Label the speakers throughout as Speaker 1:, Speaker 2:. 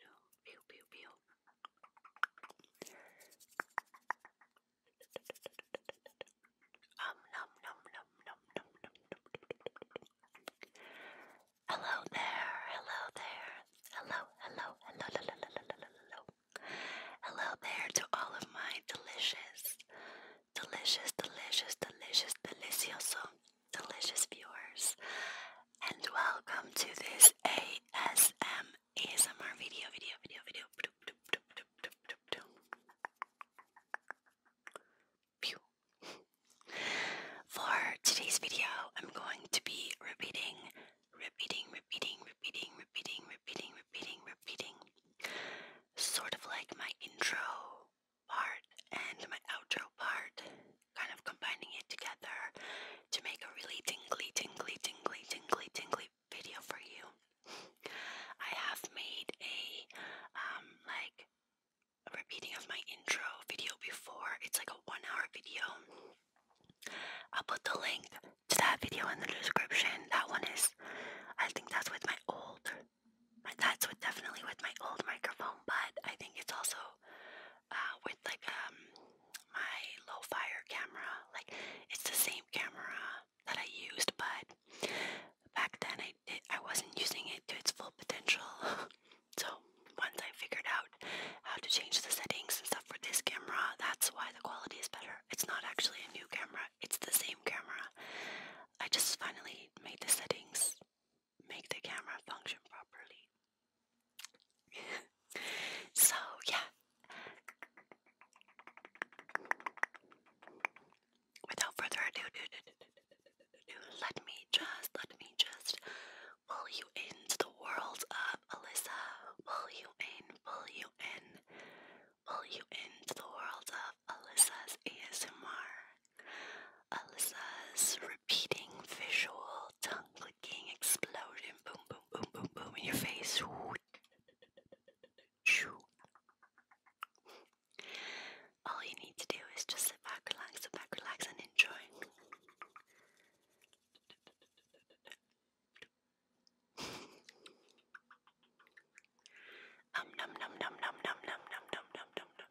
Speaker 1: no, pew pew pew. Um, num, num, num, num, num, num, num. Hello there, hello there, hello, hello, hello, hello, hello, hello, hello. Hello there to all of my delicious, delicious, delicious, delicious, delicioso delicious viewers, and welcome to this ASM ASMR video, video, video, video. For today's video, I'm going to be repeating, repeating, repeating, repeating, repeating, repeating, repeating, repeating, sort of like my intro part and my outro part, kind of combining it together to make a really tingly, tingly, tingly, tingly, tingly video for you. I have made a um like repeating of my intro video before. It's like a one-hour video. I'll put the link to that video in the description. That one is, I think that's with my old, that's with definitely with my old microphone, but I think it's also uh, with like um, my low fire camera. Like it's the same camera that I used, but back then I I wasn't using it to its full potential. so once I figured out how to change the settings and stuff for this camera, that's why the quality is better. It's not actually a new camera, it's the same camera. I just finally made the settings make the camera function properly. so, yeah. Without further ado, let me just, let me just pull you into the world of Alyssa. Pull you in, pull you in, pull you into the world of Alyssa's ASMR. Alyssa's repeating visual tongue clicking explosion. Boom, boom, boom, boom, boom in your face. All you need to do is just sit back, relax, sit back, relax, and enjoy. num, num, num, num, num, num, num, num, num, num.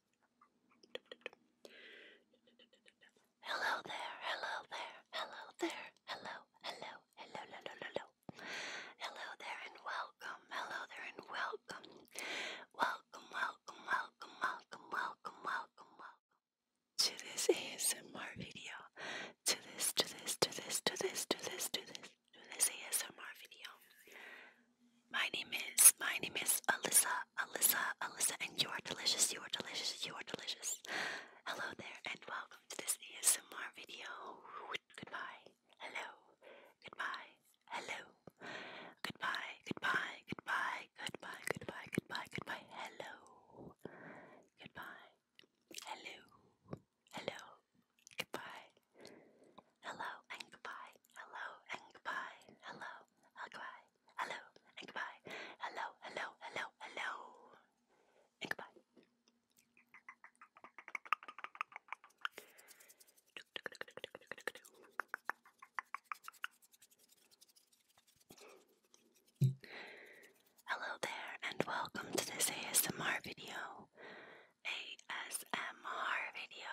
Speaker 1: Hello there, hello there, hello there, hello, hello, hello, hello, hello. there and welcome, hello there and welcome. Welcome, welcome, welcome, welcome, welcome, welcome, welcome. To this ASMR video. To this, to this, to this, to this, to this, to this, to this ASMR video. My name is, my name is Alyssa, Alyssa, Alyssa, and you are delicious, you are delicious, you are delicious. Hello there, and welcome to this ASMR video. Goodbye, hello, goodbye, hello, goodbye, goodbye, goodbye, goodbye, goodbye, goodbye, goodbye, hello, goodbye, hello, hello, goodbye, hello, and goodbye, hello, and goodbye, hello. Hello Hello there, and welcome to this ASMR video. ASMR video.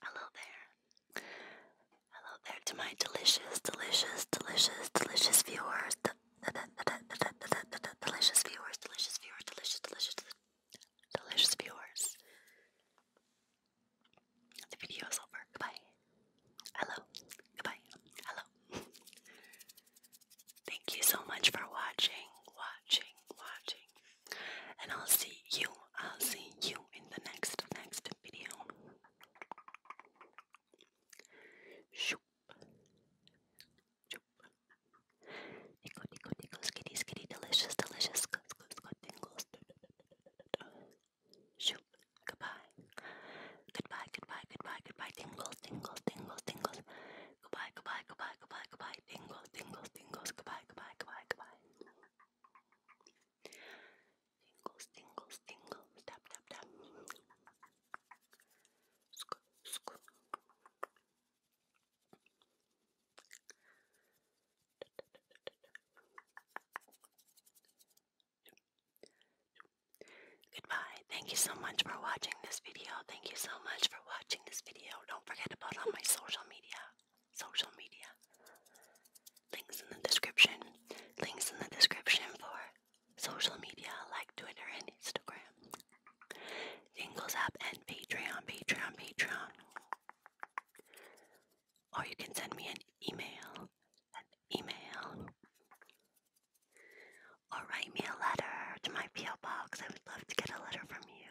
Speaker 1: Hello there. Hello there to my delicious, delicious, delicious, delicious viewers. delicious viewers, delicious viewers, delicious, delicious, delicious viewers. The video is over. Goodbye. Hello. Goodbye. Hello. Thank you so much for watching, watching, watching and I'll see you. I'll see you in the next next video. Shoop. Shoop. Tickle, tickle, tickle, skitty, skitty, delicious, delicious, good, good, good, tingles. Shoop. Goodbye. Goodbye, goodbye, goodbye, goodbye, tingles, tingles, tingles, tingles. Goodbye, goodbye, goodbye, goodbye, goodbye, Tingles, tingles, tingles. Goodbye, goodbye, goodbye, goodbye. Tingles, tingles, tingles. Tap, tap, tap. Scoop, scoop. Goodbye. Thank you so much for watching this video. Thank you so much for watching this video. Don't forget about all my social media social media. Links in the description. Links in the description for social media like Twitter and Instagram. Jingles app and Patreon, Patreon, Patreon. Or you can send me an email. email. Or write me a letter to my P.O. box. I would love to get a letter from you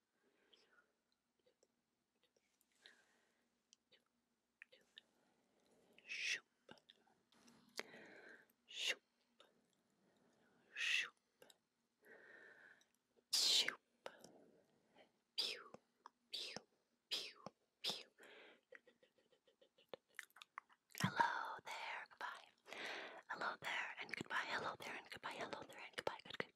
Speaker 1: Shoop. Shoop. Shoop. Shoop. Pew. Pew. Pew. Pew. Hello there. Goodbye. Hello there and goodbye. Hello there and goodbye. Hello there and goodbye. Good, good,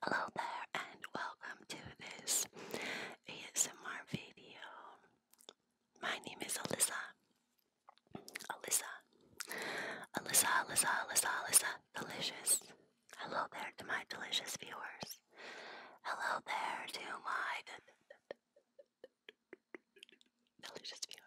Speaker 1: Hello there and welcome to this ASMR video. My name is Alyssa. Alyssa. Alyssa, Alyssa, Alyssa, Alyssa. Delicious. Hello there to my delicious viewers. Hello there to my delicious viewers.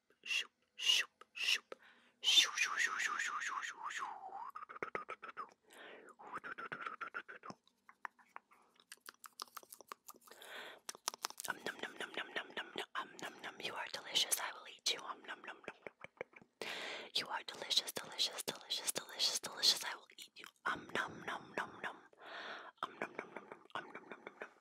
Speaker 1: shoop, shoop, shoop, shoop, shoop, shoop, shoop, shoop, shoop, shoop, shoop. Um num num num num num num num um num num you are delicious I will eat you um num num num num you are delicious delicious delicious delicious delicious I will eat you um num num num num um num num num num um num num num num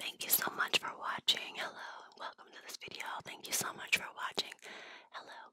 Speaker 1: Thank you so much for watching. Hello, welcome to this video. Thank you so much for watching. Hello,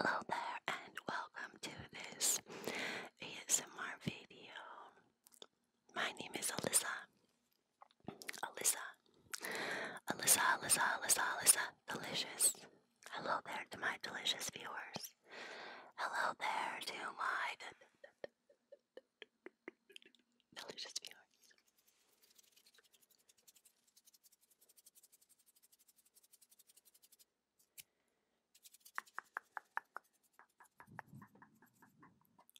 Speaker 1: Hello there and welcome to this ASMR video. My name is Alyssa. Alyssa. Alyssa, Alyssa, Alyssa, Alyssa. Delicious. Hello there to my delicious viewers. Hello there to my delicious viewers.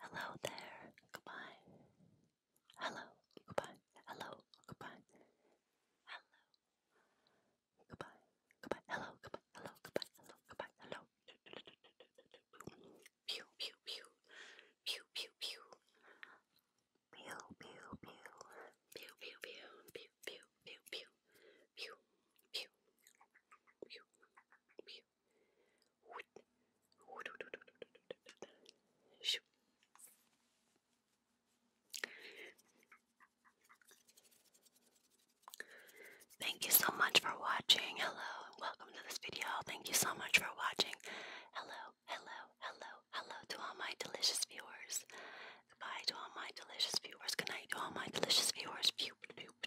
Speaker 1: Hello there, goodbye. Hello, goodbye. Hello, goodbye. Hello, goodbye. Goodbye. Hello, goodbye. Hello, goodbye. Hello, goodbye. Hello. Pew, pew, pew. Pew, pew, pew. Pew, pew, pew. Pew, pew, pew. Pew, pew, Thank you so much for watching. Hello, welcome to this video. Thank you so much for watching. Hello, hello, hello, hello to all my delicious viewers. Goodbye to all my delicious viewers. Good night to all my delicious viewers num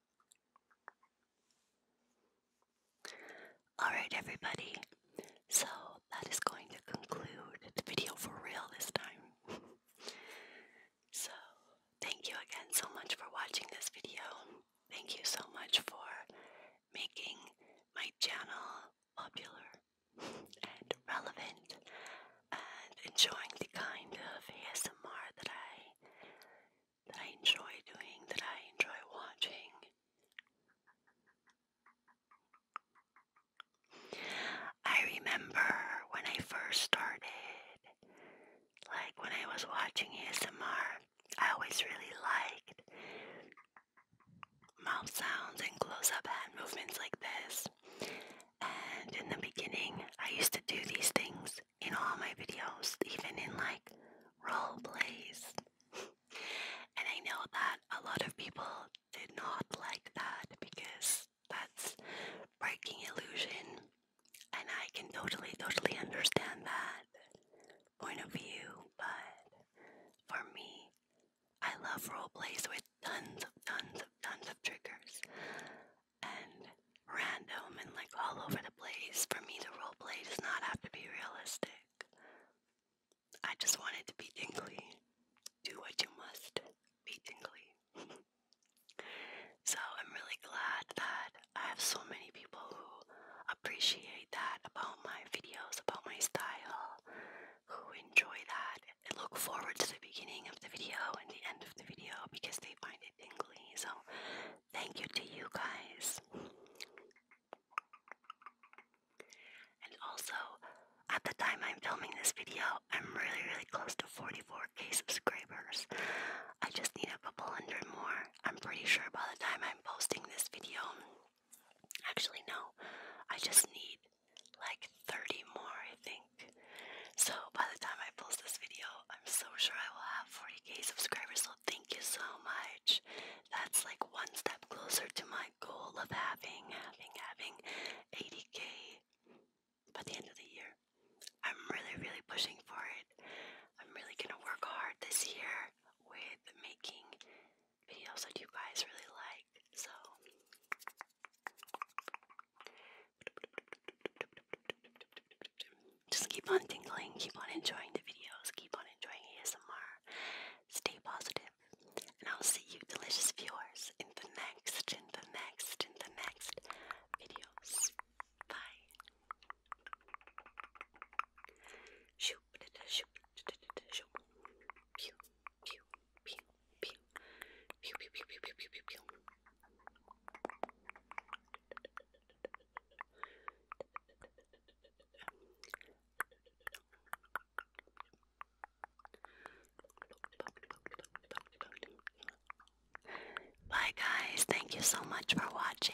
Speaker 1: Alright, everybody. So that is going to conclude the video for real this time. so, thank you again so much for watching this video. Thank you so much for making my channel popular and relevant and enjoying the kind of ASMR that I that I enjoy doing, that I enjoy watching. I remember when I first started, like when I was watching ASMR, I always really liked mouth sounds and close up hand movements like this. And in the beginning, I used to do these things in all my videos, even in like role plays. and I know that a lot of people did not like that because that's breaking illusion. And I can totally, totally understand that point of view, but for me, I love role plays with tons of tons of tons of triggers and random and like all over the place. For me, the role play does not have to be realistic. I just want it to be tingly. Do what you must. Be tingly. so I'm really glad that I have so many people who appreciate that about my videos, about my style, who enjoy that and look forward to the beginning of the video and the end of the video because they find it tingly. So Thank you to you guys. And also, at the time I'm filming this video, I'm really, really close to 44k subscribers. I just need a couple hundred more. I'm pretty sure by the time I'm posting this video, actually, no, I just need like 30 more, I think. So by the time I post this video, I'm so sure I will have 40k subscribers, so thank you so much. That's like one step closer to my goal of having, having, having 80k by the end of the year. I'm really, really pushing for it. I'm really gonna work hard this year with making videos that you guys really like. So, just keep on tingling, keep on enjoying the videos, keep on enjoying ASMR. Stay positive, and I'll see you, delicious viewers, in the next, in the next, in the next videos. Bye. Bye, guys. Thank you so much for watching.